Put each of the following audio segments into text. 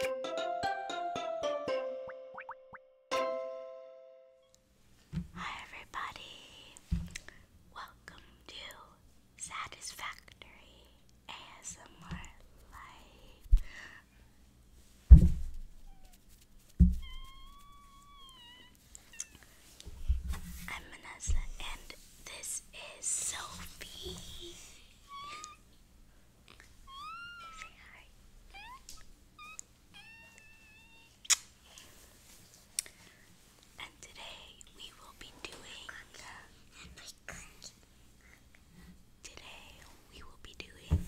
Hi, everybody. Welcome to Satisfactory ASMR I'm Manessa, and this is Sophie. And today we will be doing. Uh, today we will be doing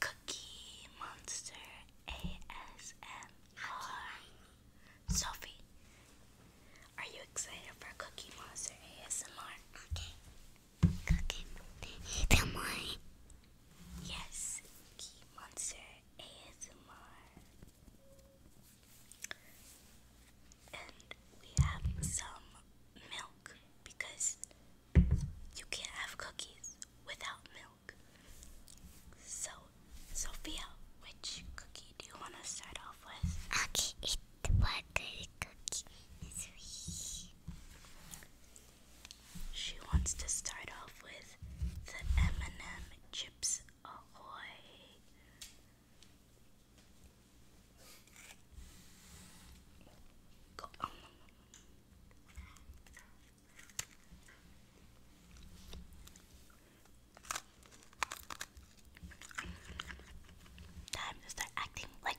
Cookie Monster ASMR. Sophie, are you excited for Cookie Monster ASMR? Okay cooking. do Yes, Key Monster ASMR. And we have some milk because you can't have cookies without milk. So, Sophia, which cookie do you want to start off with? Okay, the cookie She wants to start off with the M&M chips ahoy. Go Time to start acting like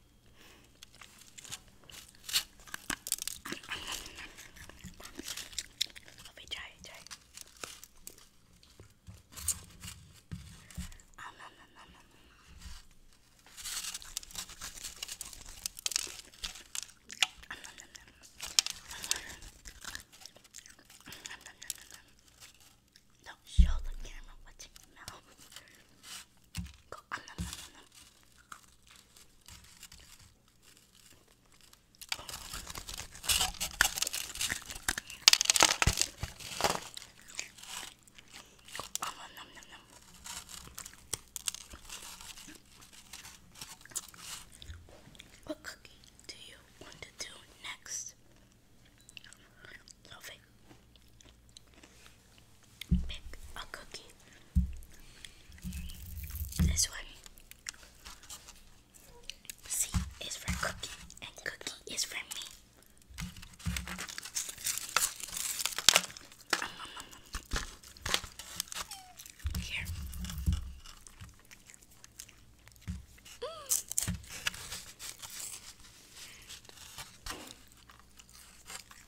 Let me try it, try it. Ah, um, nom, nom, nom, nom. Um, nom, nom, nom. Um, nom, nom, nom, nom. Don't show the camera what you know. Go. What cookie do you want to do next? Lovely. Pick a cookie. This one. C is for cookie, and cookie is for me. Here.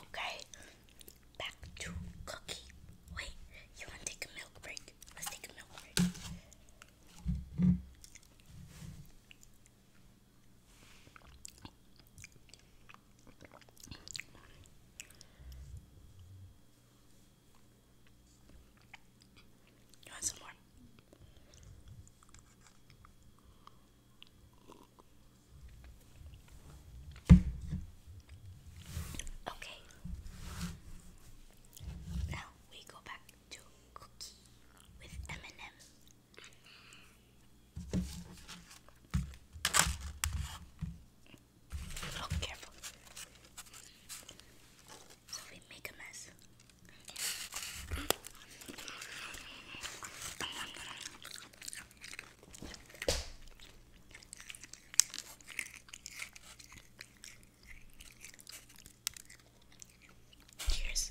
Okay, back to cookie. Wait, you want to take a milk break? Let's take a milk break. You want some more? Okay. Now we go back to cookie with M and M. Oh, careful. So we make a mess. Cheers.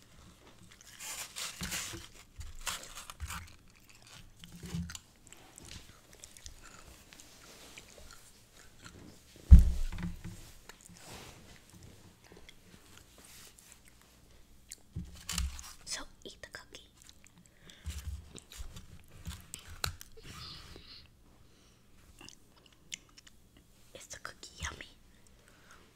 So eat the cookie. It's a cookie yummy?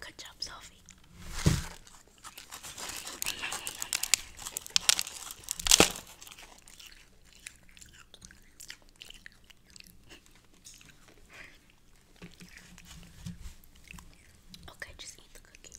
Good job, Sophie. Okay, just eat the cookie.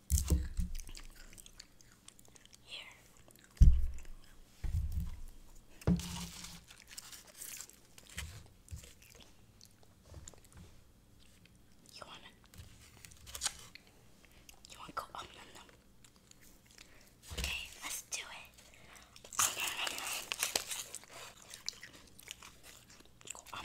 Here. You wanna You wanna go um nom nom? Okay, let's do it. Go um.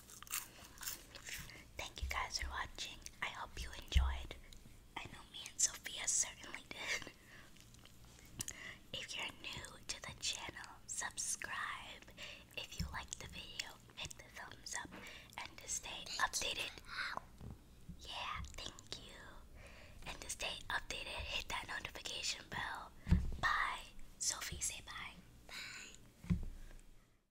Thank you guys for watching. I hope you enjoyed. I know me and Sophia certainly did. If you're new to the channel, subscribe. If you like the video, hit the thumbs up and to stay updated. Yeah, thank you. And to stay updated, hit that notification bell. Bye. Sophie, say bye. Bye.